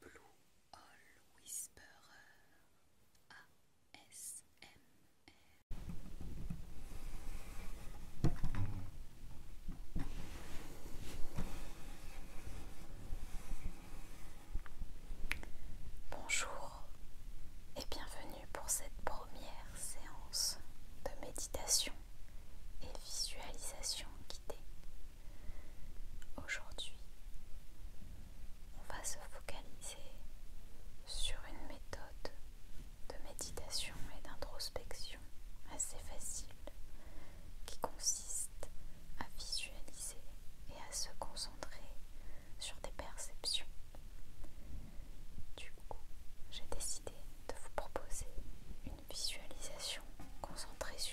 Blue Bonjour et bienvenue pour cette première séance de méditation et visualisation Aujourd'hui, on va se focaliser sur une méthode de méditation et d'introspection assez facile qui consiste à visualiser et à se concentrer sur des perceptions. Du coup, j'ai décidé de vous proposer une visualisation concentrée sur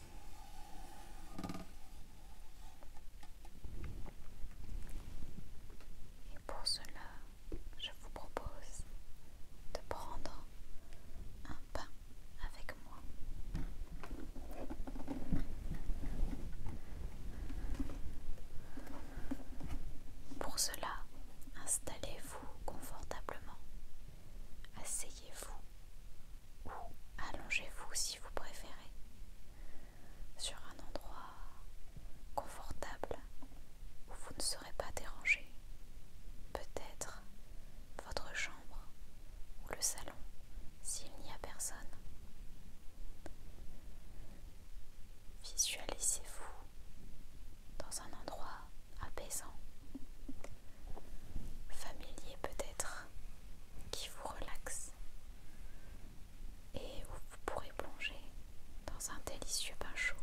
Et pour cela, je vous propose de prendre un pain avec moi. Pour cela, installez-vous confortablement, asseyez-vous ou allongez-vous si vous préférez sur un endroit confortable où vous ne serez pas dérangé. Peut-être votre chambre ou le salon s'il n'y a personne. Visualisez-vous dans un endroit apaisant familier peut-être qui vous relaxe et où vous pourrez plonger dans un délicieux bain chaud.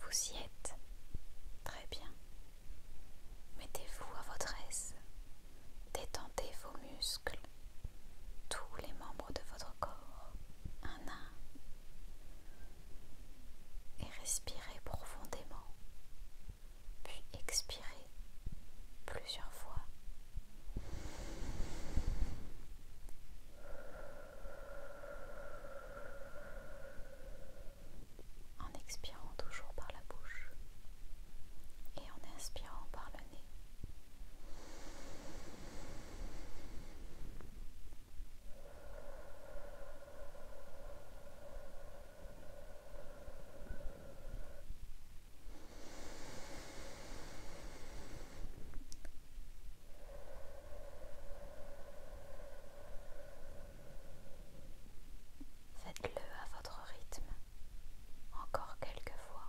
Vous y êtes très bien. Mettez-vous à votre aise. Détendez vos muscles, tous les membres de votre corps, un à un et respirez profondément, puis expirez plusieurs fois. En expirant toujours par la bouche et en inspirant par le nez. Faites-le à votre rythme encore quelques fois.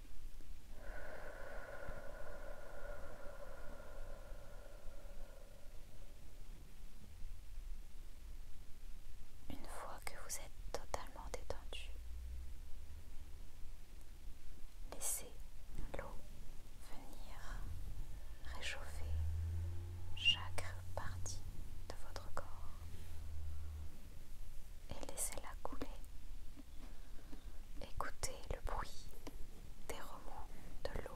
Une fois que vous êtes totalement détendu, laissez l'eau venir réchauffer chaque partie de votre corps et laissez-la couler Écoutez le bruit des remous de l'eau.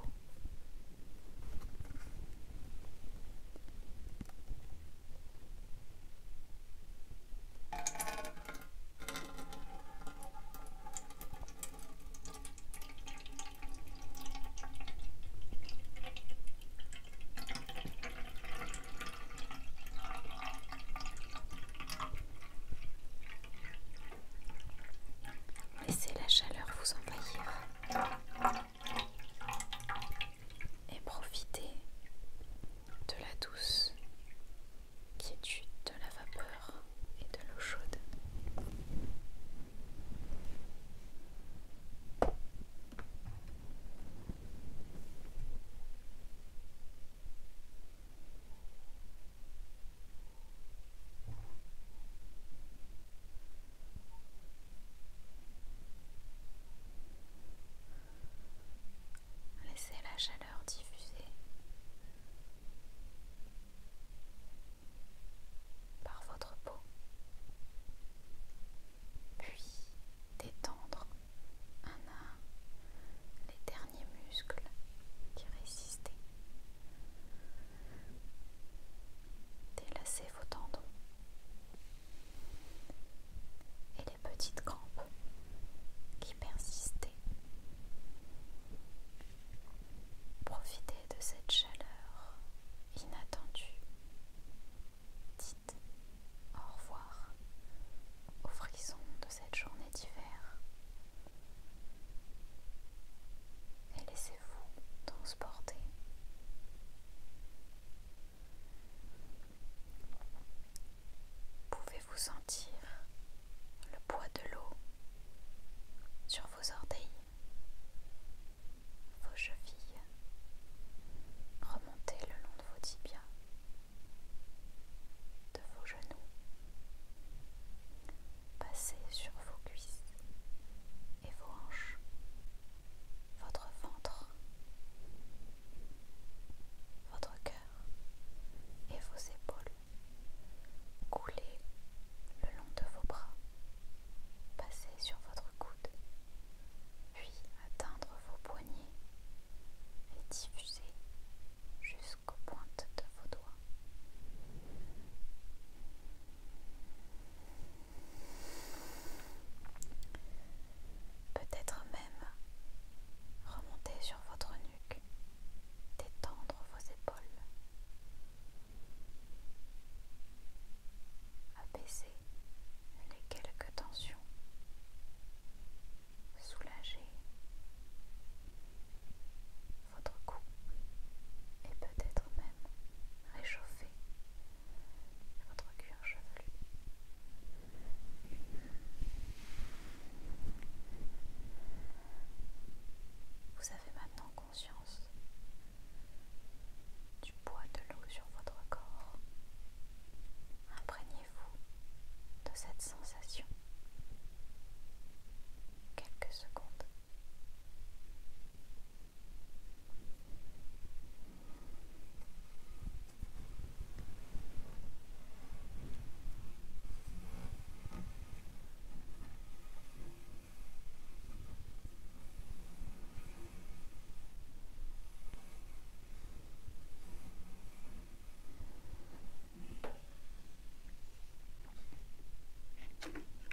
Laissez la chaleur vous envahir et profitez de la douce qui est quiétude de la vapeur et de l'eau chaude. Laissez la chaleur diffuser. Par votre peau, puis détendre un les derniers muscles qui résistaient. Délacez vos tendons et les petites crampes qui persistaient. Profitez de cette chaleur inattendue. Dites au revoir aux frisson de cette journée d'hiver et laissez-vous transporter. Pouvez-vous sentir le poids de l'eau sur vos orteils, vos chevilles, remonter le long de vos tibias de vos genoux. Passez sur vos cuisses et vos hanches, votre ventre, votre cœur et vos épaules. Coulez le long de vos bras, passez sur votre coude, puis atteindre vos poignets et diffuser jusqu'aux pointes de vos doigts. Peut-être même remonter sur votre nuque, détendre vos épaules, apaiser les quelques tensions soulager votre cou et peut-être même réchauffer votre cuir chevelu. Vous avez maintenant conscience du poids de l'eau sur votre corps Imprégnez-vous de cette sensation. Quelques secondes.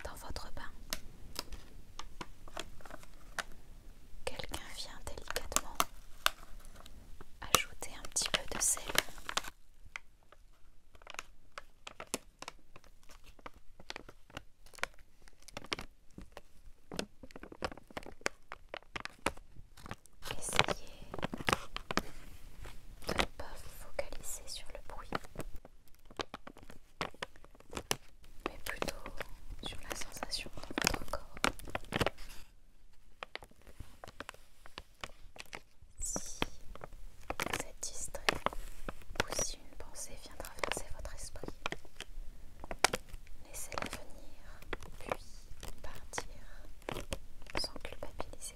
Dans votre bain, quelqu'un vient délicatement ajouter un petit peu de sel. Essayez de ne pas vous focaliser sur le bruit, mais plutôt sur la sensation dans votre corps. Si vous êtes distrait ou si une pensée vient traverser votre esprit, Laissez-la venir, puis partir sans culpabiliser.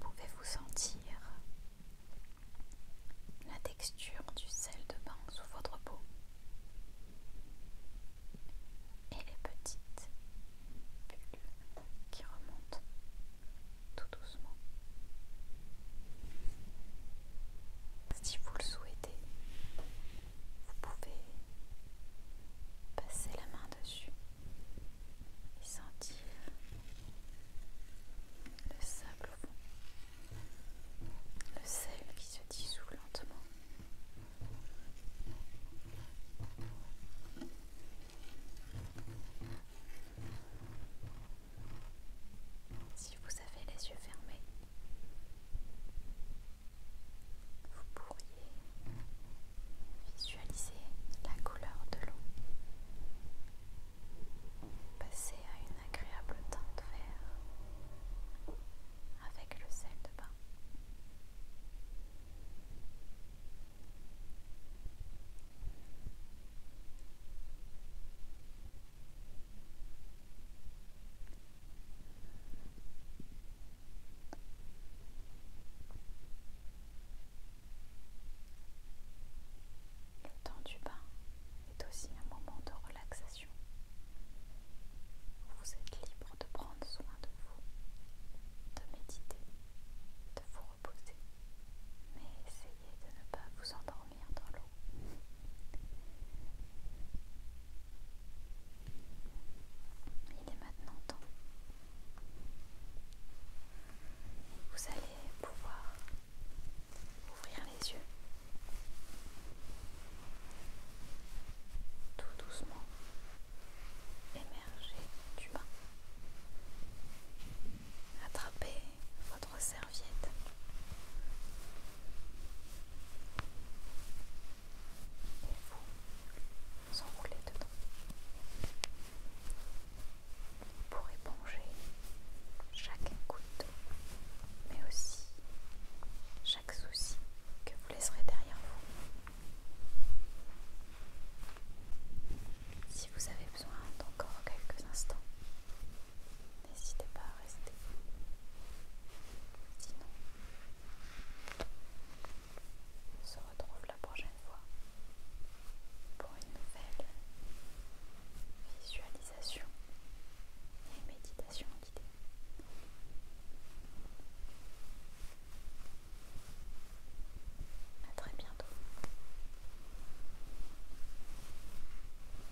Pouvez-vous sentir la texture du sel de bain sous votre peau et les petites bulles qui remontent tout doucement. Si vous le souhaitez, vous pouvez passer la main dessus et sentir le sable au fond, le sel qui se dissout lentement. Si vous avez les yeux fermés, vous pourriez visualiser la couleur de l'eau, passer à une agréable teinte vert avec le sel de bain. Le temps du bain est aussi un moment de relaxation. Vous êtes libre de prendre soin de vous, de méditer, de vous reposer, mais essayez de ne pas vous endormir dans l'eau. Il est maintenant temps. Vous allez pouvoir ouvrir les yeux tout doucement émerger du bas. attraper votre serviette et vous enroulez dedans. Pour éponger chaque goutte, mais aussi chaque souci que vous laisserez derrière vous. Si vous avez besoin d'encore quelques instants, n'hésitez pas à rester. Sinon, on se retrouve la prochaine fois pour une nouvelle visualisation et méditation guidée. A très bientôt.